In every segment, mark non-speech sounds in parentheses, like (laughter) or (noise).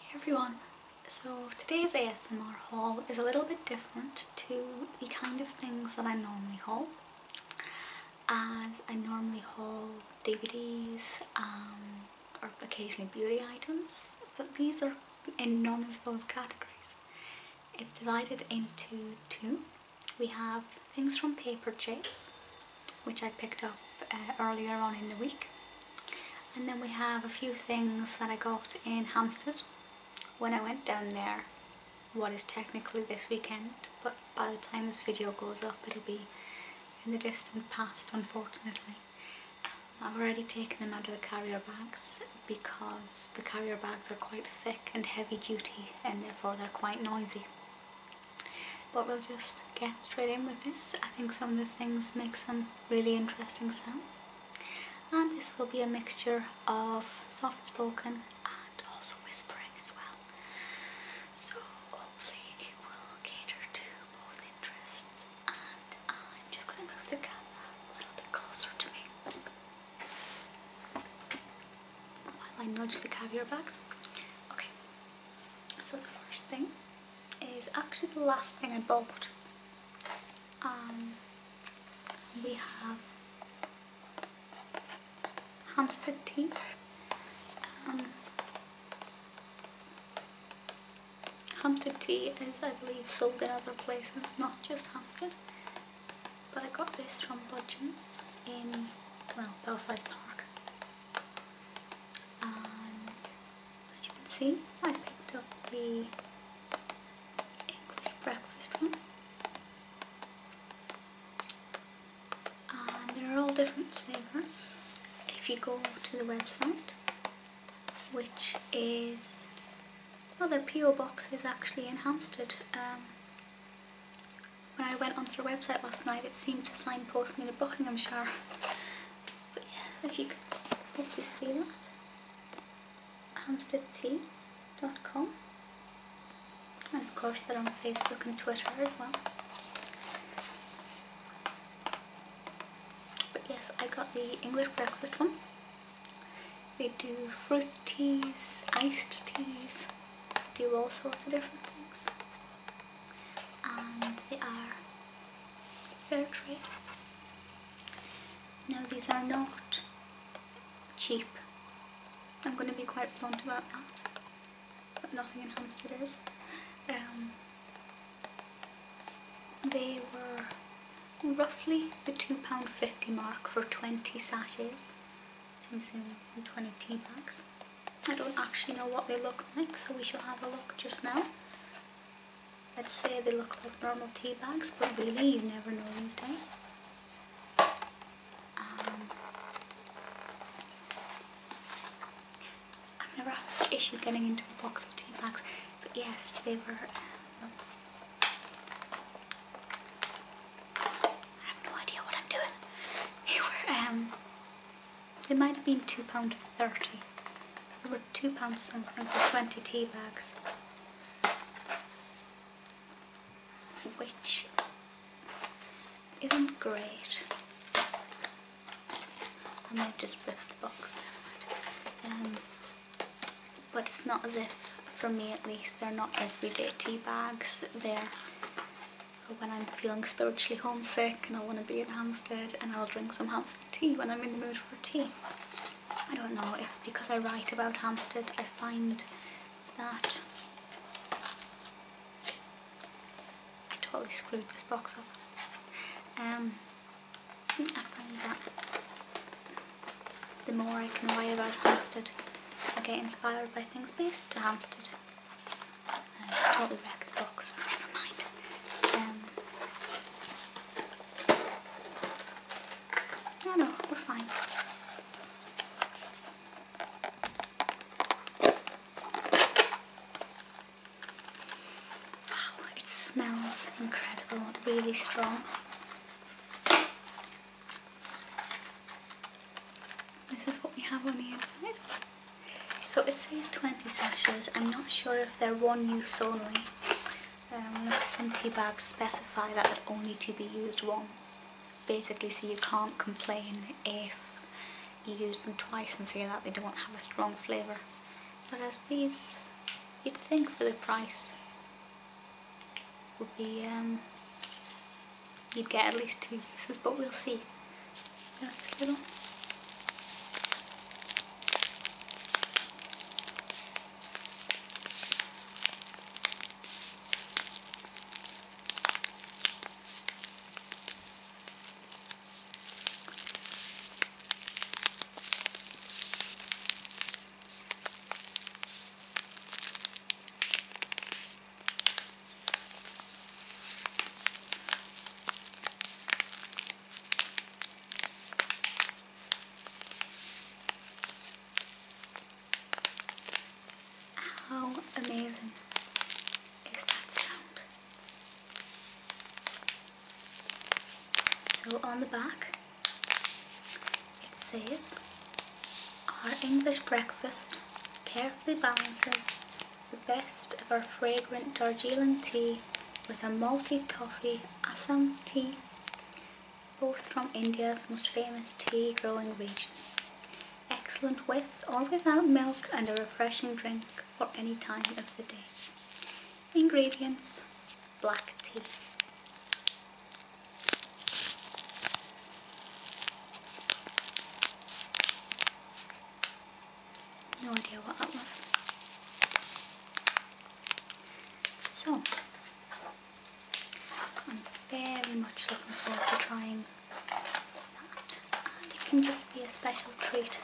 Hey everyone, so today's ASMR haul is a little bit different to the kind of things that I normally haul as I normally haul DVDs um, or occasionally beauty items but these are in none of those categories. It's divided into two. We have things from Paper Chase which I picked up uh, earlier on in the week and then we have a few things that I got in Hampstead when I went down there. What is technically this weekend, but by the time this video goes up it'll be in the distant past unfortunately. Um, I've already taken them out of the carrier bags because the carrier bags are quite thick and heavy duty and therefore they're quite noisy. But we'll just get straight in with this. I think some of the things make some really interesting sounds. And this will be a mixture of soft spoken and also whispering as well. So hopefully it will cater to both interests. And I'm just going to move the camera a little bit closer to me. While I nudge the caviar back. Okay, so the first thing is actually the last thing I bought. Um, we have Hampstead tea. Um, Hampstead tea is, I believe, sold in other places, not just Hampstead. But I got this from Budgeons in, well, Belsize Park as you can see I picked up the English breakfast one and there are all different flavours if you go to the website which is well their PO box is actually in Hampstead um, when I went onto their website last night it seemed to signpost me to Buckinghamshire but yeah, if you can hopefully see that. Hamsteadtea.com And of course they're on Facebook and Twitter as well. But yes, I got the English breakfast one. They do fruit teas, iced teas, do all sorts of different things and they are fair trade. Now these are not cheap. I'm going to be quite blunt about that, but nothing in Hampstead is. Um, they were roughly the £2.50 mark for 20 sashes, so I'm assuming 20 tea I don't actually know what they look like, so we shall have a look just now. Let's say they look like normal tea bags, but really you never know these days. Um, I've never had such issue getting into a box of tea bags, but yes, they were... Um, I have no idea what I'm doing. (laughs) They were um, they might have been £2.30. They were £2 something for 20 tea bags. Which isn't great. I might just rip the box um, but it's not as if, for me at least, they're not everyday tea bags. They're or when I'm feeling spiritually homesick and I want to be in Hampstead and I'll drink some Hampstead tea when I'm in the mood for tea. I don't know, it's because I write about Hampstead, I find that I totally screwed this box up. Um, I find that the more I can write about Hampstead, I get inspired by things based to Hampstead. I probably wrecked the box, never mind. Um, no, we're fine. Wow, it smells incredible, really strong. This is what we have on the inside. So it says 20 sashes. I'm not sure if they're one use only. some um, tea bags specify that they're only to be used once. Basically, so you can't complain if you use them twice and say that they don't have a strong flavour. Whereas these, you'd think for the price, would be um, you'd get at least two uses, but we'll see. Next little. How amazing is that sound? So on the back it says our English breakfast, care perfectly balances the best of our fragrant Darjeeling tea with a malty toffee Assam tea, both from India's most famous tea growing regions. Excellent with or without milk and a refreshing drink for any time of the day. Ingredients, black tea. No idea what that was. So, I'm very much looking forward to trying that. it can just be a special treat.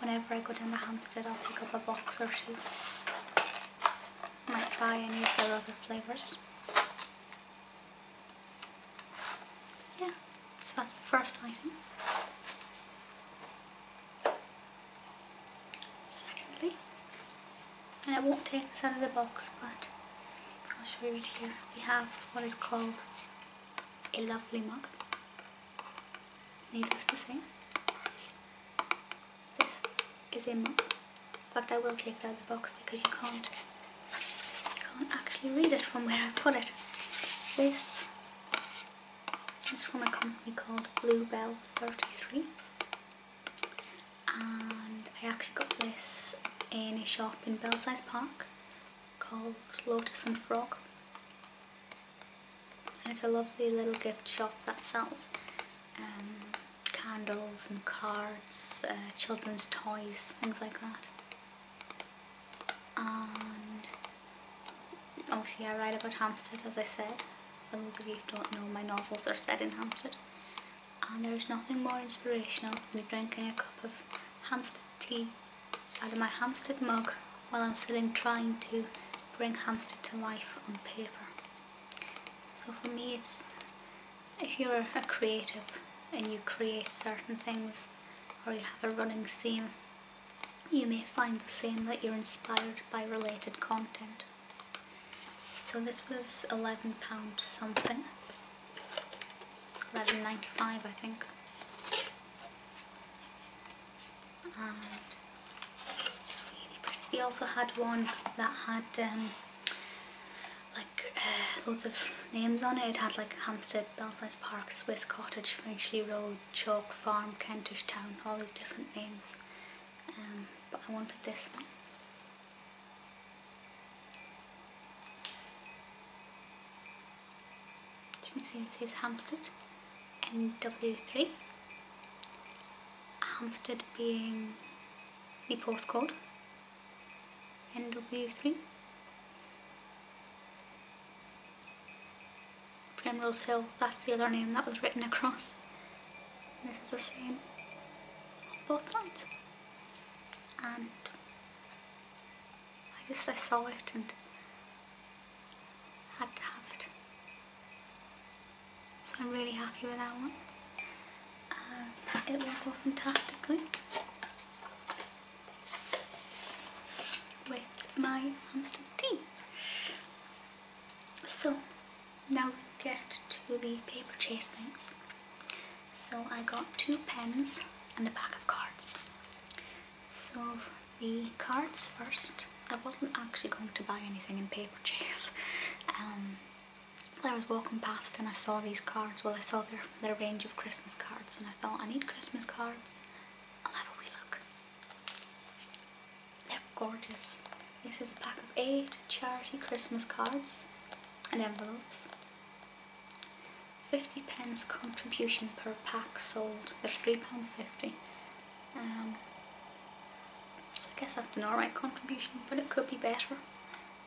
Whenever I go down the Hampstead, I'll pick up a box or two. Might try any of the other flavours. Yeah, so that's the first item. Secondly, and it won't take this out of the box but I'll show you it here. We have what is called a lovely mug, needless to say. This is a mug in fact, I will take it out of the box because you can't, you can't actually read it from where I put it. This is from a company called Bluebell 33. And I actually got this in a shop in Belsize Park called Lotus and Frog. And it's a lovely little gift shop that sells um, candles and cards, uh, children's toys, things like that. And obviously I write about Hampstead as I said. For those of you who don't know, my novels are set in Hampstead. And there is nothing more inspirational than drinking a cup of Hampstead tea out of my Hampstead mug while I'm sitting trying to bring Hampstead to life on paper. So for me it's if you're a creative and you create certain things or you have a running theme, you may find the same that you're inspired by related content. So this was £11 something, eleven ninety five, I think. And it's really pretty. They also had one that had um, like uh, of names on it. It had like Hampstead, Belsize Park, Swiss Cottage, Finchley Road, Chalk Farm, Kentish Town, all these different names. Um, but I wanted this one. As you can see it says Hampstead, NW3. Hampstead being the postcode NW3 Primrose Hill, that's the other name that was written across. this is the same on both sides. And I just I saw it and had to have it. So I'm really happy with that one. And it worked go fantastically with my hamster tea. So now we get to the paper chase things. So I got two pens and a pack of cards. So the cards first. I wasn't actually going to buy anything in paper chase. (laughs) Um, I was walking past and I saw these cards. Well, I saw their, their range of Christmas cards and I thought, I need Christmas cards. I'll have a wee look. They're gorgeous. This is a pack of eight charity Christmas cards and envelopes. 50 pence contribution per pack sold. They're £3.50. Um, so I guess that's an alright contribution, but it could be better.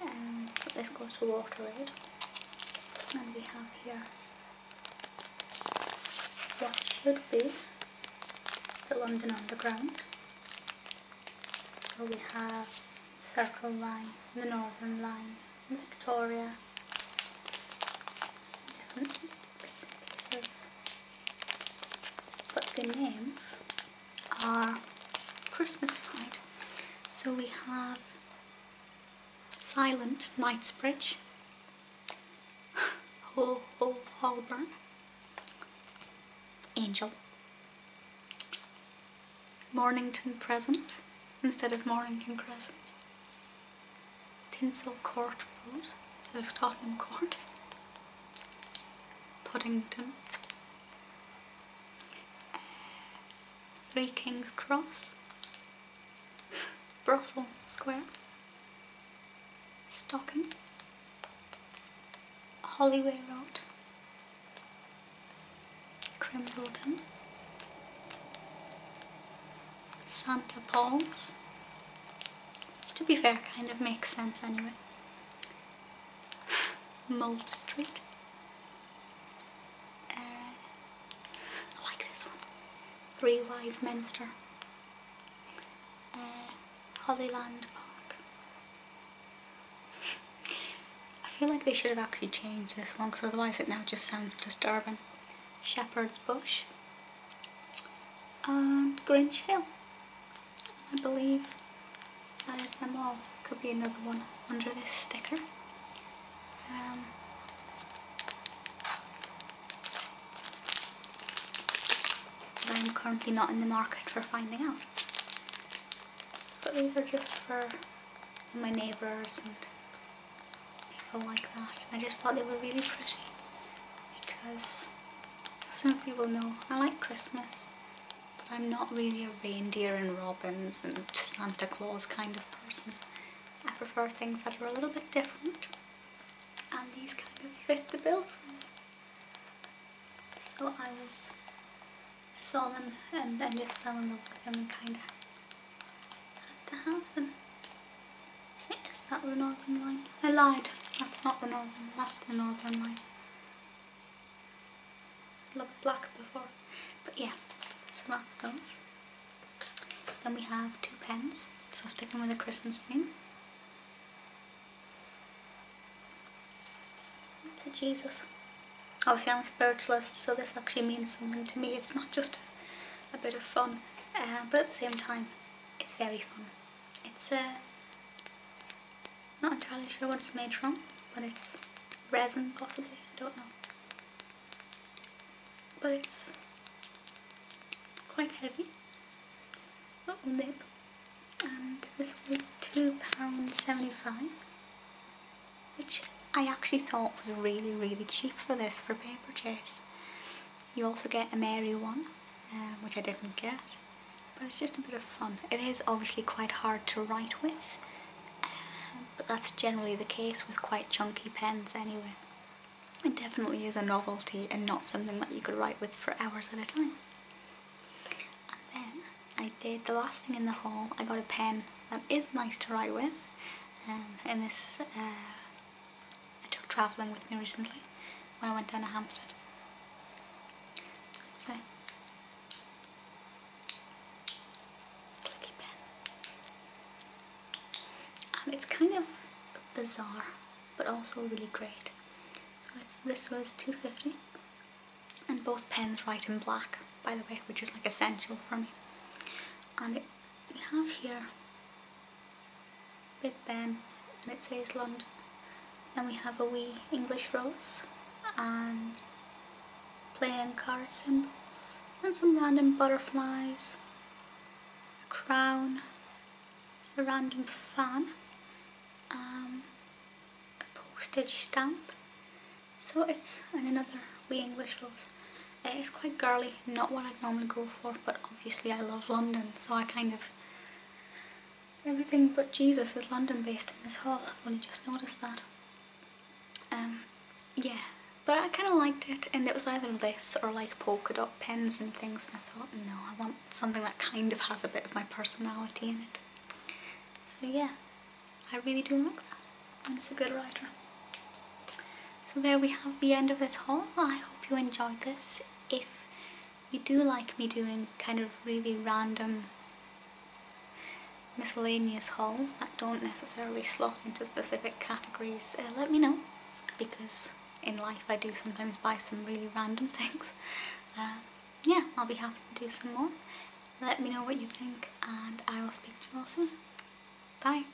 And um, this goes to WaterAid. And we have here what should be the London Underground. So we have Circle Line, the Northern Line, Victoria, different bits and pieces. But the names are Christmasified. So we have Silent Knightsbridge, Ho (laughs) Ho Holborn, Angel, Mornington Crescent instead of Mornington Crescent, Tinsel Court Road instead of Tottenham Court, Poddington, Three Kings Cross, Brussels Square, Stocking, Hollyway Road, Crimbledon, Santa Paul's, which to be fair kind of makes sense anyway. Mold Street. Uh, I like this one. Three Wise Minster. Uh, Hollyland Park. I feel like they should have actually changed this one because otherwise it now just sounds disturbing. Shepherd's Bush. And Grinch Hill. I believe that is them all. Could be another one under this sticker. Um, I'm currently not in the market for finding out. But these are just for my neighbours and people like that. I just thought they were really pretty because some people know I like Christmas, but I'm not really a reindeer and robins and Santa Claus kind of person. I prefer things that are a little bit different, and these kind of fit the bill for me. So I was, I saw them and, and just fell in love with them and kind of had to have them. Is that the northern line? I lied. That's not the northern, that's the northern line. I black before. But yeah, so that's those. Then we have two pens, so sticking with the Christmas theme. It's a Jesus. Obviously I'm a spiritualist, so this actually means something to me. It's not just a, bit of fun, uh, but at the same time, it's very fun. It's a... Uh, not entirely sure what it's made from, but it's resin possibly, I don't know. But it's quite heavy. Not oh, lip. And this was £2.75 which I actually thought was really really cheap for this for paper chase. You also get a Mary one um, which I didn't get but it's just a bit of fun. It is obviously quite hard to write with um, but that's generally the case with quite chunky pens anyway. It definitely is a novelty and not something that you could write with for hours at a time. And then I did the last thing in the hall. I got a pen that is nice to write with and um, in this uh, I took travelling with me recently when I went down to Hampstead. So it's a clicky pen. And it's kind of bizarre but also really great. So it's this was 250 and both pens white and black by the way which is like essential for me. And we have here Big Ben and it says London. Then we have a wee English rose and playing card symbols and some random butterflies, a crown, a random fan, um, a postage stamp. So it's another wee English rose. It is quite girly, not what I'd normally go for, but obviously I love London, so I kind of... Everything but Jesus is London based in this hall. I've only just noticed that. Um, yeah, but I kind of liked it, and it was either this or like polka dot pens and things, and I thought, no, I want something that kind of has a bit of my personality in it. So yeah, I really do like that, and it's a good writer. So there we have the end of this haul. I hope you enjoyed this. If you do like me doing kind of really random miscellaneous hauls that don't necessarily slot into specific categories, uh, let me know because in life I do sometimes buy some really random (laughs) things. Uh, yeah, I'll be happy to do some more. Let me know what you think and I will speak to you all soon. Bye.